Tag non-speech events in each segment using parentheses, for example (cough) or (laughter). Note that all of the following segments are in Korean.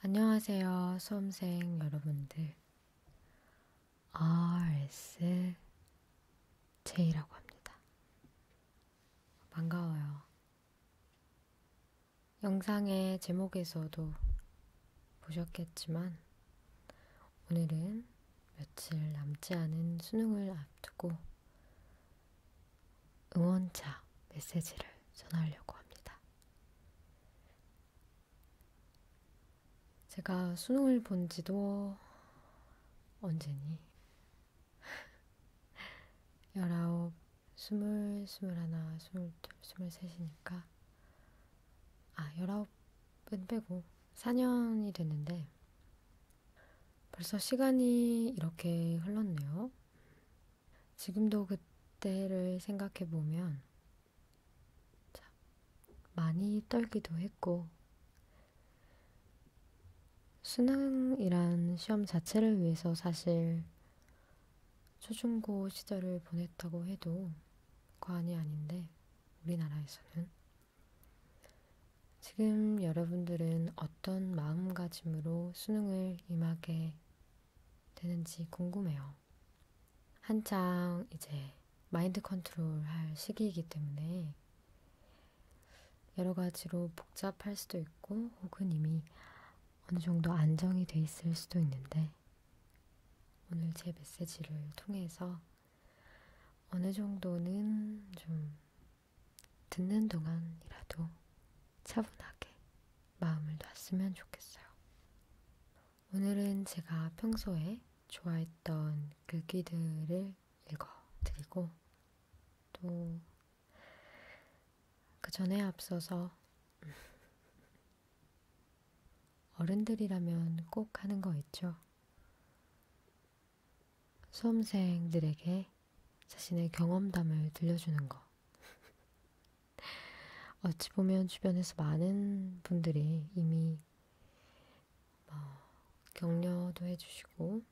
안녕하세요, 수험생 여러분들. RSJ라고 합니다. 반가워요. 영상의 제목에서도 보셨겠지만, 오늘은 며칠 남지 않은 수능을 앞두고 응원차 메시지를 전하려고 합니다. 제가 수능을 본 지도 언제니? 19, 20, 21, 22, 23이니까 아, 19은 빼고 4년이 됐는데 벌써 시간이 이렇게 흘렀네요. 지금도 그때를 생각해 보면 참 많이 떨기도 했고 수능이란 시험 자체를 위해서 사실 초중고 시절을 보냈다고 해도 과언이 아닌데 우리나라에서는 지금 여러분들은 어떤 마음가짐으로 수능을 임하게 되는지 궁금해요. 한창 이제 마인드 컨트롤 할 시기이기 때문에 여러 가지로 복잡할 수도 있고 혹은 이미 어느 정도 안정이 돼 있을 수도 있는데 오늘 제 메시지를 통해서 어느 정도는 좀 듣는 동안이라도 차분하게 마음을 놨으면 좋겠어요. 오늘은 제가 평소에 좋아했던 글귀들을 그 읽어 드리고, 또, 그 전에 앞서서, 어른들이라면 꼭 하는 거 있죠. 수험생들에게 자신의 경험담을 들려주는 것. 어찌 보면 주변에서 많은 분들이 이미 어, 격려도 해주시고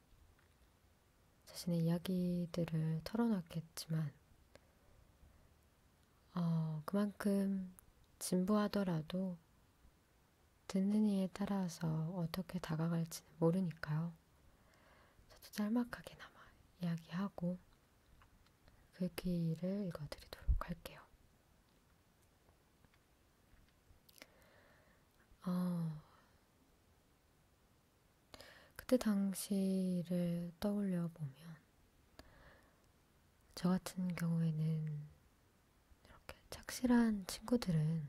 자신의 이야기들을 털어놨겠지만 어, 그만큼 진부하더라도 듣는 이에 따라서 어떻게 다가갈지는 모르니까요. 저도 짤막하게나마 이야기하고 글귀를 그 읽어드리도록 할게요. 어, 그때 당시를 떠올려 보면, 저 같은 경우에는 이렇게 착실한 친구들은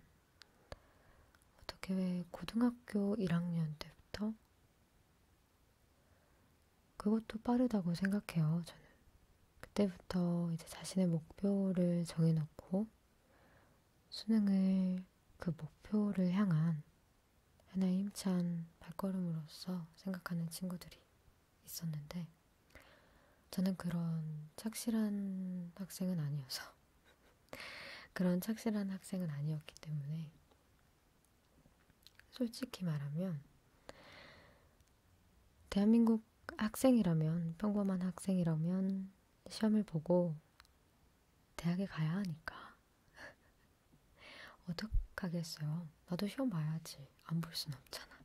어떻게 왜 고등학교 1학년 때부터? 그것도 빠르다고 생각해요, 저는. 그때부터 이제 자신의 목표를 정해놓고 수능을 그 목표를 향한 하나의 힘찬 발걸음으로서 생각하는 친구들이 있었는데 저는 그런 착실한 학생은 아니어서 그런 착실한 학생은 아니었기 때문에 솔직히 말하면 대한민국 학생이라면 평범한 학생이라면 시험을 보고 대학에 가야 하니까 (laughs) 어떡하겠어요. 나도 시험 봐야지. 안 볼 순 없잖아.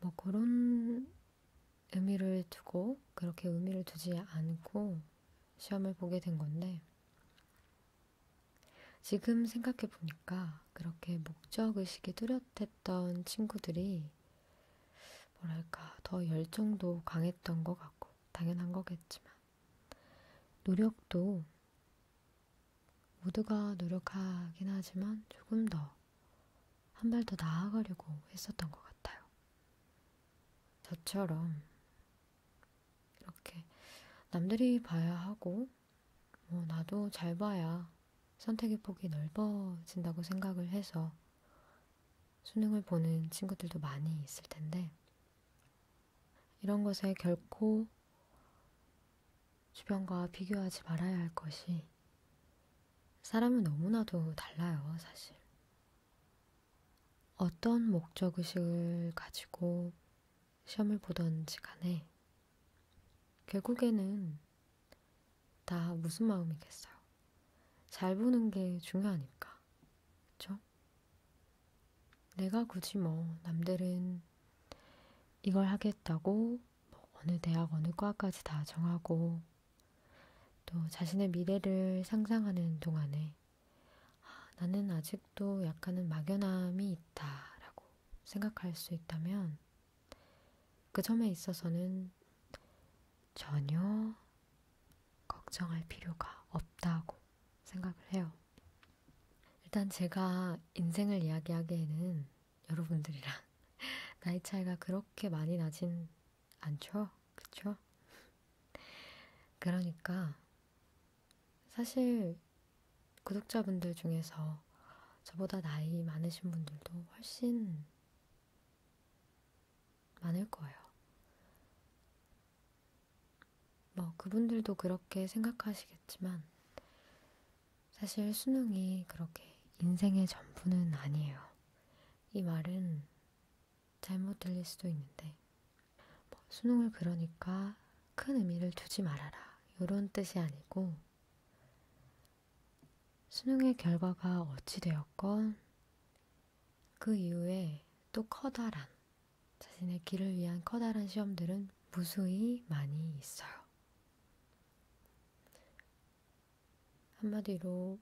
뭐 그런 의미를 두고 그렇게 의미를 두지 않고 시험을 보게 된 건데 지금 생각해 보니까 그렇게 목적의식이 뚜렷했던 친구들이 뭐랄까 더 열정도 강했던 것 같고 당연한 거겠지만 노력도 모두가 노력하긴 하지만 조금 더 한 발 더 나아가려고 했었던 것 같아요. 저처럼 이렇게 남들이 봐야 하고 뭐 나도 잘 봐야 선택의 폭이 넓어진다고 생각을 해서 수능을 보는 친구들도 많이 있을 텐데 이런 것에 결코 주변과 비교하지 말아야 할 것이 사람은 너무나도 달라요, 사실. 어떤 목적의식을 가지고 시험을 보던지 간에 결국에는 다 무슨 마음이겠어요. 잘 보는 게 중요 하니까 그쵸? 내가 굳이 뭐 남들은 이걸 하겠다고 뭐 어느 대학 어느 과까지 다 정하고 또 자신의 미래를 상상하는 동안에 아, 나는 아직도 약간은 막연함이 있다라고 생각할 수 있다면 그 점에 있어서는 전혀 걱정할 필요가 없다고 생각을 해요. 일단 제가 인생을 이야기하기에는 여러분들이랑 (laughs) 나이 차이가 그렇게 많이 나진 않죠? 그쵸? 그러니까 사실 구독자분들 중에서 저보다 나이 많으신 분들도 훨씬 많을 거예요. 뭐, 그분들도 그렇게 생각하시겠지만, 사실 수능이 그렇게 인생의 전부는 아니에요. 이 말은 잘못 들릴 수도 있는데, 뭐 수능을 그러니까 큰 의미를 두지 말아라. 이런 뜻이 아니고, 수능의 결과가 어찌되었건, 그 이후에 또 커다란, 자신의 길을 위한 커다란 시험들은 무수히 많이 있어요. 한마디로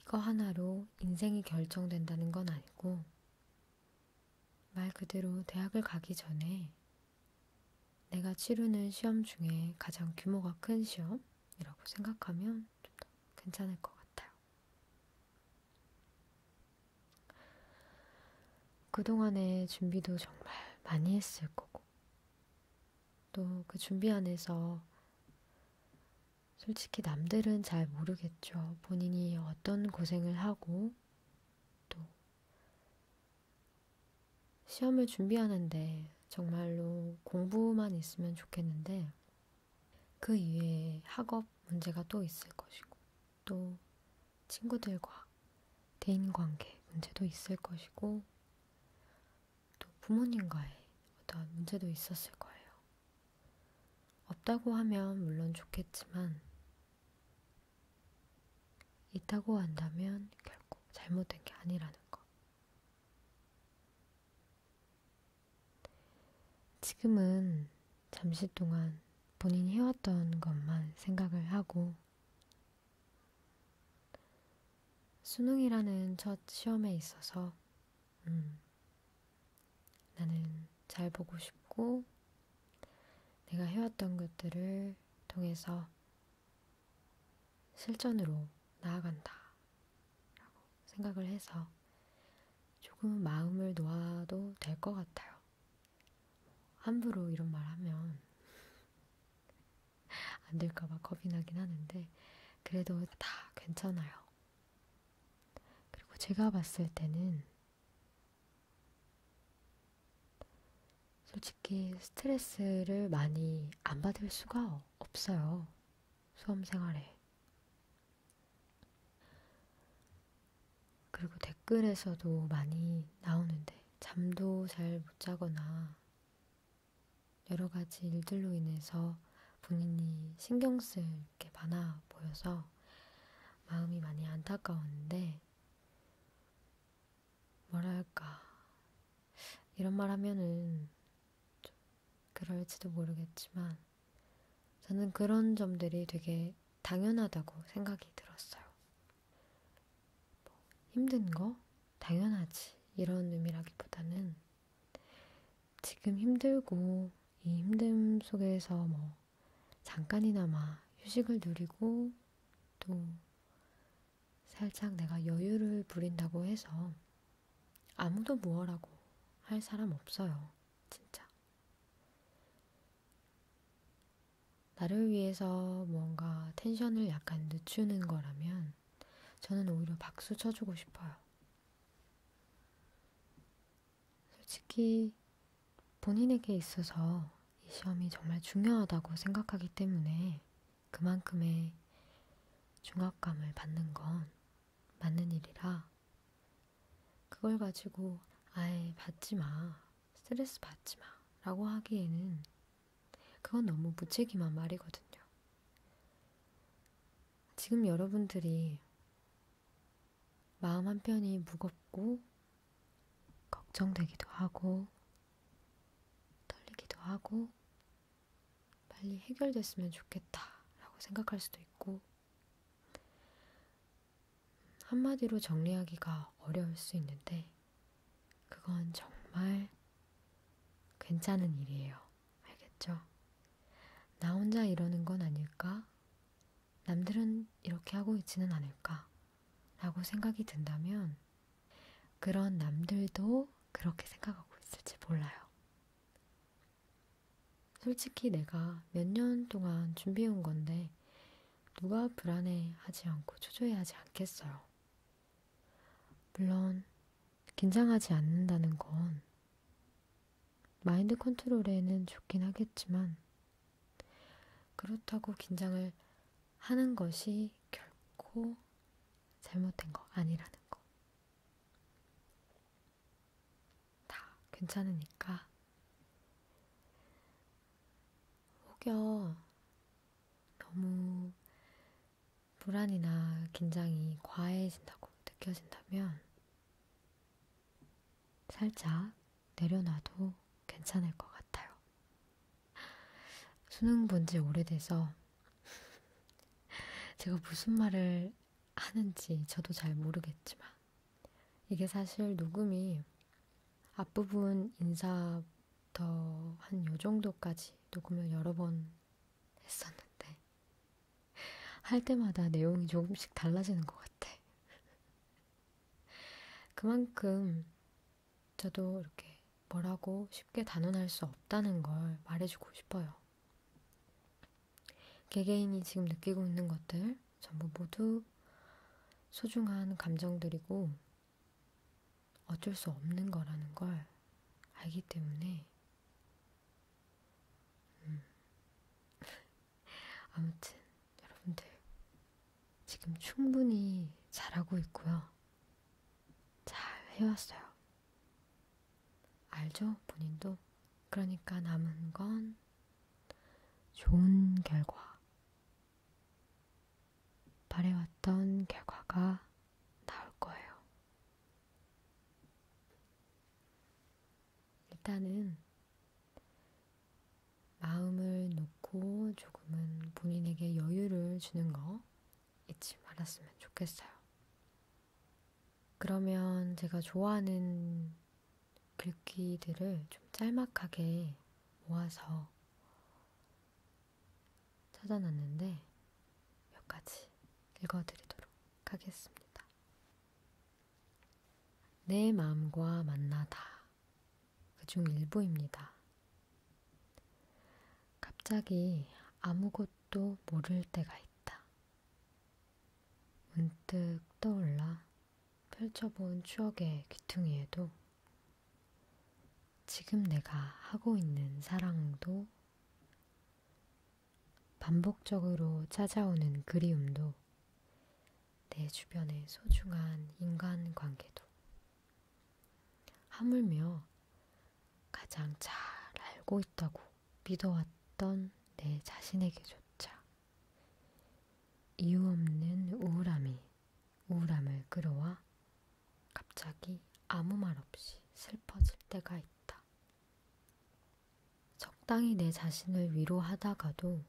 이거 하나로 인생이 결정된다는 건 아니고, 말 그대로 대학을 가기 전에 내가 치르는 시험 중에 가장 규모가 큰 시험이라고 생각하면 좀 더 괜찮을 것 같아요. 그동안의 준비도 정말 많이 했을 거고, 또그 준비 안에서 솔직히 남들은 잘 모르겠죠. 본인이 어떤 고생을 하고 또 시험을 준비하는데 정말로 공부만 있으면 좋겠는데 그 이외에 학업 문제가 또 있을 것이고 또 친구들과 대인관계 문제도 있을 것이고 또 부모님과의 어떤 문제도 있었을 거예요. 없다고 하면 물론 좋겠지만, 있다고 한다면 결국 잘못된 게 아니라는 거. 지금은 잠시 동안 본인이 해왔던 것만 생각을 하고 수능이라는 첫 시험에 있어서 음, 나는 잘 보고 싶고 내가 해왔던 것들을 통해서 실전으로 나아간다 라고 생각을 해서 조금 마음을 놓아도 될 것 같아요. 함부로 이런 말 하면 안 될까봐 겁이 나긴 하는데, 그래도 다 괜찮아요. 그리고 제가 봤을 때는, 솔직히 스트레스를 많이 안 받을 수가 없어요. 수험 생활에. 그리고 댓글에서도 많이 나오는데, 잠도 잘 못 자거나, 여러 가지 일들로 인해서 본인이 신경 쓸 게 많아 보여서 마음이 많이 안타까웠는데, 뭐랄까. 이런 말 하면은 좀 그럴지도 모르겠지만, 저는 그런 점들이 되게 당연하다고 생각이 들었어요. 뭐 힘든 거 당연하지 이런 의미라기보다는 지금 힘들고 이 힘듦 속에서 뭐 잠깐이나마 휴식을 누리고 또 살짝 내가 여유를 부린다고 해서 아무도 무어라고 할 사람 없어요. 진짜. 나를 위해서 뭔가 텐션을 약간 늦추는 거라면 저는 오히려 박수 쳐주고 싶어요. 솔직히 본인에게 있어서 이 시험이 정말 중요하다고 생각하기 때문에 그만큼의 중압감을 받는 건 맞는 일이라 그걸 가지고 아예 받지 마, 스트레스 받지 마 라고 하기에는 그건 너무 무책임한 말이거든요. 지금 여러분들이 마음 한편이 무겁고 걱정되기도 하고 떨리기도 하고 빨리 해결됐으면 좋겠다라고 생각할 수도 있고 한마디로 정리하기가 어려울 수 있는데 그건 정말 괜찮은 일이에요. 알겠죠? 나 혼자 이러는 건 아닐까? 남들은 이렇게 하고 있지는 않을까? 라고 생각이 든다면 그런 남들도 그렇게 생각하고 있을지 몰라요. 솔직히 내가 몇 년 동안 준비해온 건데 누가 불안해하지 않고 초조해하지 않겠어요. 물론, 긴장하지 않는다는 건 마인드 컨트롤에는 좋긴 하겠지만, 그렇다고 긴장을 하는 것이 결코 잘못된 거 아니라는 거. 다 괜찮으니까. 혹여 너무 불안이나 긴장이 과해진다고 느껴진다면 살짝 내려놔도 괜찮을 것 같아요. 수능 본지 오래돼서 (laughs) 제가 무슨 말을 하는지 저도 잘 모르겠지만 이게 사실 녹음이 앞부분 인사 더한요 정도까지 녹음을 여러 번 했었는데 할 때마다 내용이 조금씩 달라지는 것 같아. 그만큼 저도 이렇게 뭐라고 쉽게 단언할 수 없다는 걸 말해주고 싶어요. 개개인이 지금 느끼고 있는 것들 전부 모두 소중한 감정들이고 어쩔 수 없는 거라는 걸 알기 때문에, 음. (laughs) 아무튼 여러분들 지금 충분히 잘하고 있고요. 잘 해왔어요. 알죠? 본인도. 그러니까 남은 건 좋은 결과, 바래왔던 결과가 나올 거예요. 일단은 마음을 놓고 조금은 본인에게 여유를 주는 거 잊지 말았으면 좋겠어요. 그러면 제가 좋아하는 글귀들을 좀 짤막하게 모아서 찾아놨는데 몇 가지 읽어드리도록 하겠습니다. 내 마음과 만나다. 그 중 일부입니다. 갑자기 아무것도 모를 때가 있다. 문득 떠올라 펼쳐본 추억의 귀퉁이에도 지금 내가 하고 있는 사랑도 반복적으로 찾아오는 그리움도 내 주변의 소중한 인간 관계도 하물며 가장 잘 알고 있다고 믿어왔던 내 자신에게조차 이유 없는 우울함이 우울함을 끌어와 갑자기 아무 말 없이 슬퍼질 때가 있다. 적당히 내 자신을 위로하다가도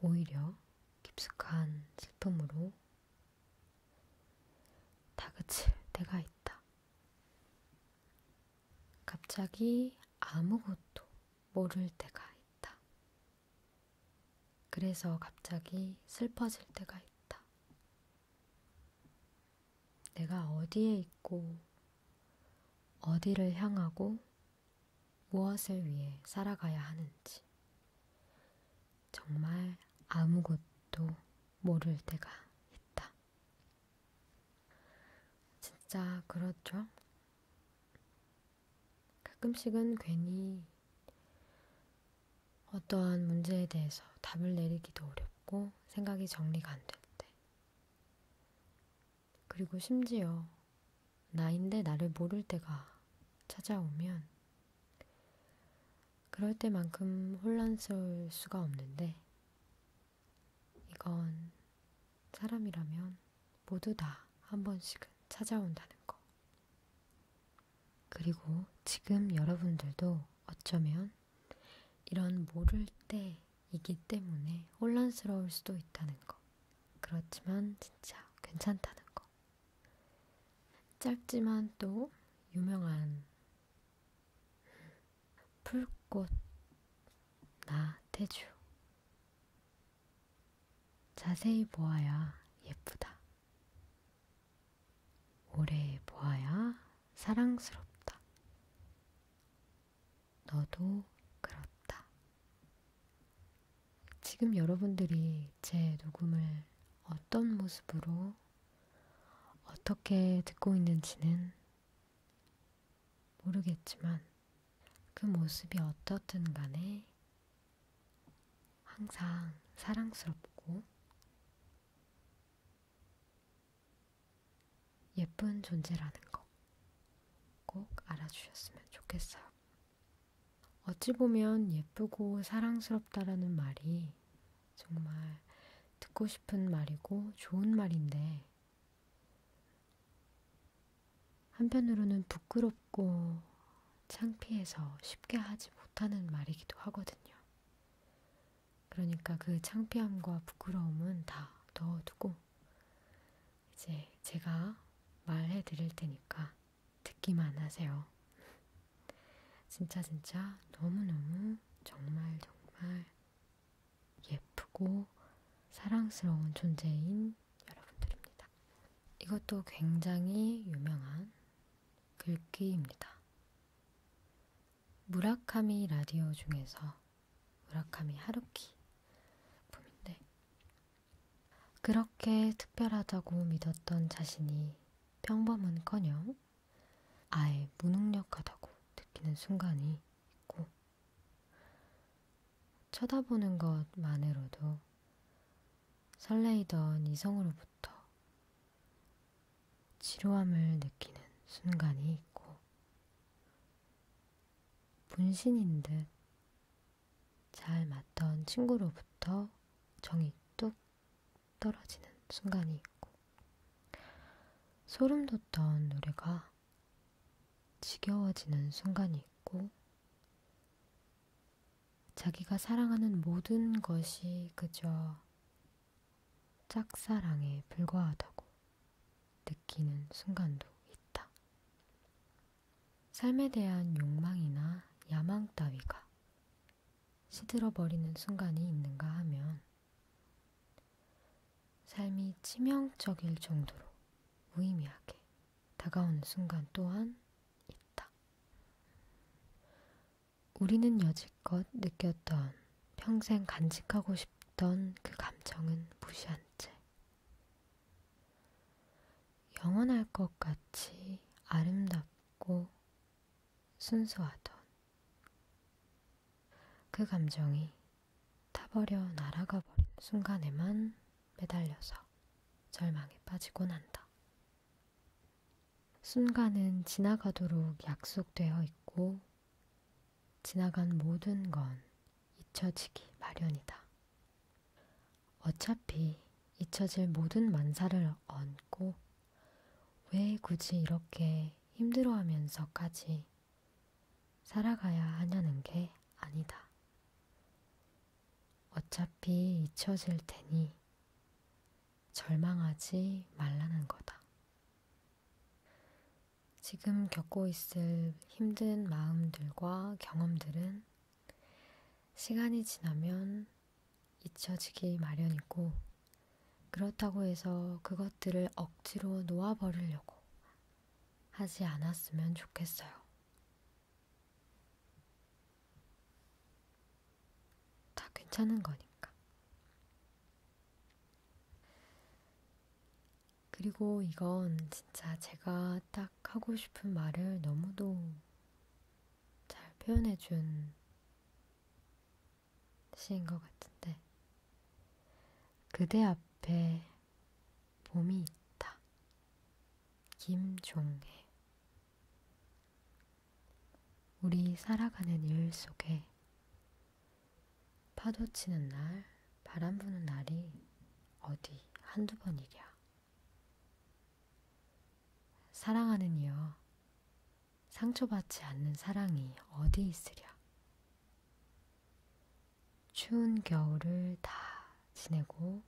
오히려 깊숙한 슬픔으로 다그칠 때가 있다. 갑자기 아무것도 모를 때가 있다. 그래서 갑자기 슬퍼질 때가 있다. 내가 어디에 있고, 어디를 향하고, 무엇을 위해 살아가야 하는지 정말 아무것도 모를 때가 있다. 진짜 그렇죠? 가끔씩은 괜히 어떠한 문제에 대해서 답을 내리기도 어렵고 생각이 정리가 안 될 때. 그리고 심지어 나인데 나를 모를 때가 찾아오면 그럴 때만큼 혼란스러울 수가 없는데 이건 사람이라면 모두 다 한 번씩은 찾아온다는 거. 그리고 지금 여러분들도 어쩌면 이런 모를 때이기 때문에 혼란스러울 수도 있다는 거. 그렇지만 진짜 괜찮다는 거. 짧지만 또 유명한 풀꽃 나태주 자세히 보아야 예쁘다. 오래 보아야 사랑스럽다. 너도 그렇다. 지금 여러분들이 제 녹음을 어떤 모습으로 어떻게 듣고 있는지는 모르겠지만, 그 모습이 어떻든 간에 항상 사랑스럽고 예쁜 존재라는 거 꼭 알아주셨으면 좋겠어요. 어찌 보면 예쁘고 사랑스럽다라는 말이 정말 듣고 싶은 말이고 좋은 말인데 한편으로는 부끄럽고 창피해서 쉽게 하지 못하는 말이기도 하거든요. 그러니까 그 창피함과 부끄러움은 다 넣어두고 이제 제가 말해 드릴 테니까 듣기만 하세요. 진짜 진짜 너무너무 정말 정말 예쁘고 사랑스러운 존재인 있는 여러분들입니다. 이것도 굉장히 유명한 글귀입니다. 무라카미 라디오 중에서 무라카미 하루키 작품인데 그렇게 특별하다고 믿었던 자신이 평범은커녕 아예 무능력하다고 느끼는 순간이 있고 쳐다보는 것만으로도 설레이던 이성으로부터 지루함을 느끼는 순간이 있고, 분신인 듯 잘 맞던 친구로부터 정이 뚝 떨어지는 순간이 있고, 소름 돋던 노래가 지겨워지는 순간이 있고, 자기가 사랑하는 모든 것이 그저 짝사랑에 불과하다고 느끼는 순간도 있다. 삶에 대한 욕망이나 야망 따위가 시들어버리는 순간이 있는가 하면 삶이 치명적일 정도로 무의미하게 다가오는 순간 또한 있다. 우리는 여지껏 느꼈던 평생 간직하고 싶던 그 감정은 무시한 채 영원할 것 같이 아름답고 순수하던 그 감정이 타버려 날아가 버린 순간에만 매달려서 절망에 빠지곤 한다. 순간은 지나가도록 약속되어 있고, 지나간 모든 건 잊혀지기 마련이다. 어차피 잊혀질 모든 만사를 얹고, 왜 굳이 이렇게 힘들어하면서까지 살아가야 하냐는 게 아니다. 어차피 잊혀질 테니 절망하지 말라는 거다. 지금 겪고 있을 힘든 마음들과 경험들은 시간이 지나면 잊혀지기 마련이고, 그렇다고 해서 그것들을 억지로 놓아버리려고 하지 않았으면 좋겠어요. 다 괜찮은 거니까. 그리고 이건 진짜 제가 딱 하고 싶은 말을 너무도 잘 표현해준 시인 것 같은데, 그대 앞에 봄이 있다. 김종혜 우리 살아가는 일 속에 파도 치는 날, 바람 부는 날이 어디 한두 번이랴. 사랑하는 이여, 상처받지 않는 사랑이 어디 있으랴. 추운 겨울을 다 지내고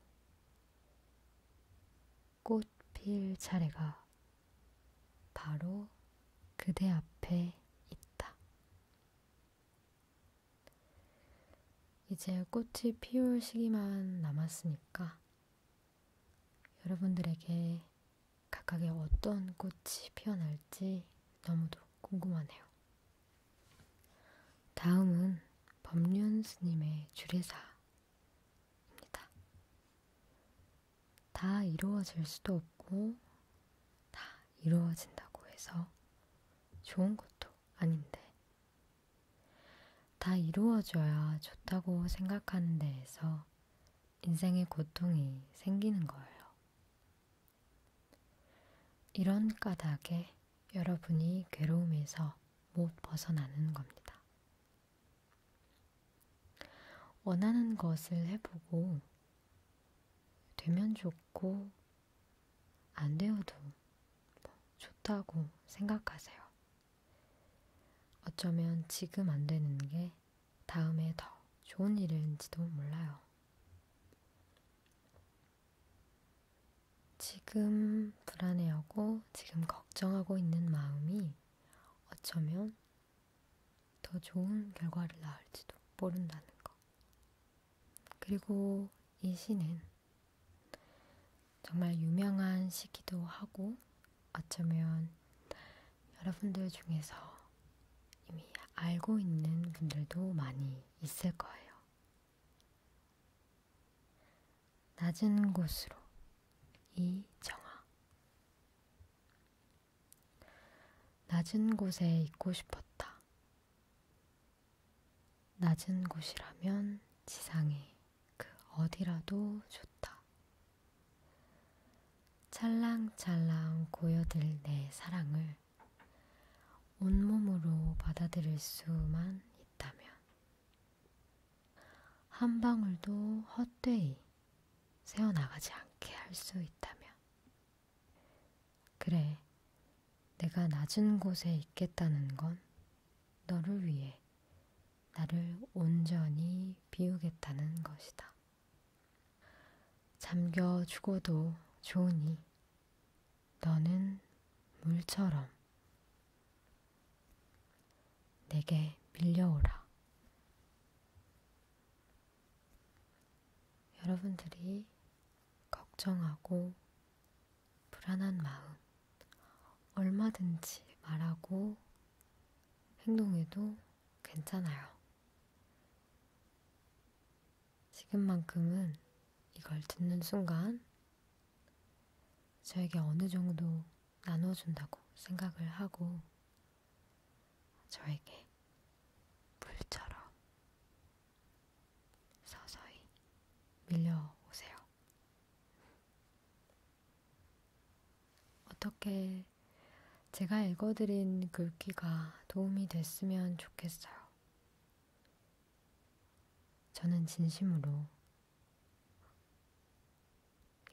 꽃 필 차례가 바로 그대 앞에 있다. 이제 꽃이 피울 시기만 남았으니까 여러분들에게 각각의 어떤 꽃이 피어날지 너무도 궁금하네요. 다음은 법륜 스님의 주례사입니다. 다 이루어질 수도 없고, 다 이루어진다고 해서 좋은 것도 아닌데, 다 이루어져야 좋다고 생각하는 데에서 인생의 고통이 생기는 거예요. 이런 까닭에 여러분이 괴로움에서 못 벗어나는 겁니다. 원하는 것을 해보고, 되면 좋고, 안 되어도 좋다고 생각하세요. 어쩌면 지금 안 되는 게 다음에 더 좋은 일인지도 몰라요. 지금 불안해하고 지금 걱정하고 있는 마음이 어쩌면 더 좋은 결과를 낳을지도 모른다는 것. 그리고 이 시는 정말 유명한 시기도 하고 어쩌면 여러분들 중에서 이미 알고 있는 분들도 많이 있을 거예요. 낮은 곳으로 이정아 낮은 곳에 있고 싶었다. 낮은 곳이라면 지상의 그 어디라도 좋다. 찰랑찰랑 고여들 내 사랑을 온몸으로 받아들일 수만 있다면 한 방울도 헛되이 새어나가지 않게 할 수 있다면 그래, 내가 낮은 곳에 있겠다는 건 너를 위해 나를 온전히 비우겠다는 것이다. 잠겨 죽어도 좋으니 너는 물처럼 내게 밀려오라. 여러분들이 걱정하고 불안한 마음 얼마든지 말하고 행동해도 괜찮아요. 지금만큼은 이걸 듣는 순간 저에게 어느 정도 나눠준다고 생각을 하고 저에게 물처럼 서서히 밀려오세요. 어떻게 제가 읽어드린 글귀가 도움이 됐으면 좋겠어요. 저는 진심으로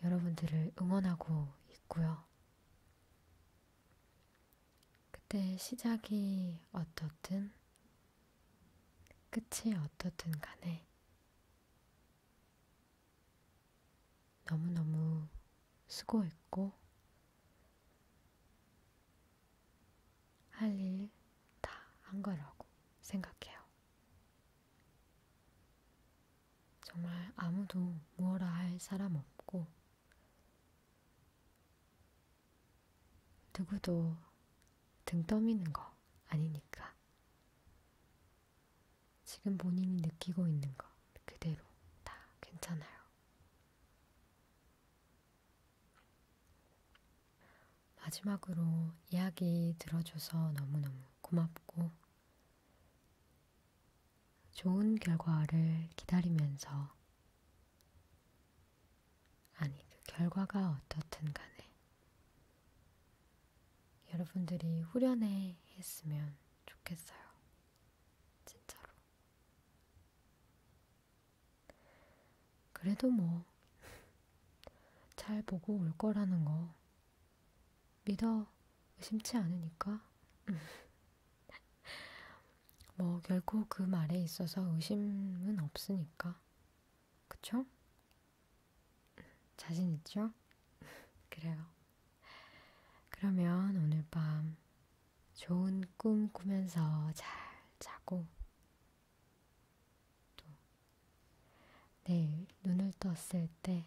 여러분들을 응원하고 있고요. 그때 시작이 어떻든 끝이 어떻든 간에 너무너무 쓰고 있고, 할 일 다 한 거라고 생각해요. 정말 아무도 무어라 할 사람 없고, 누구도 등 떠미는 거 아니니까. 지금 본인이 느끼고 있는 거 그대로 다 괜찮아요. 마지막으로 이야기 들어줘서 너무너무 고맙고, 좋은 결과를 기다리면서, 아니, 그 결과가 어떻든 간에, 여러분들이 후련해 했으면 좋겠어요. 진짜로. 그래도 뭐, 잘 보고 올 거라는 거 믿어 의심치 않으니까. (laughs) 뭐, 결코 그 말에 있어서 의심은 없으니까. 그쵸? 자신 있죠? (laughs) 그래요. 그러면 오늘 밤 좋은 꿈 꾸면서 잘 자고 또 내일 눈을 떴을 때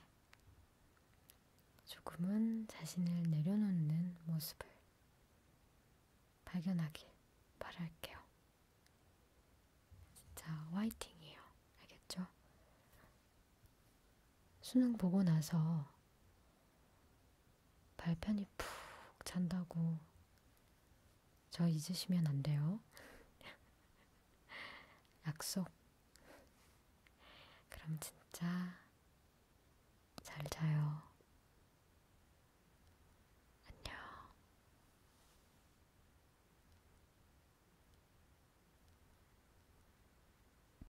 조금은 자신을 내려놓는 모습을 발견하길 바랄게요. 진짜 화이팅이에요. 알겠죠? 수능 보고 나서 발편이 푹 잔다고 저 잊으시면 안 돼요. (laughs) 약속. 그럼 진짜 잘 자요. 안녕.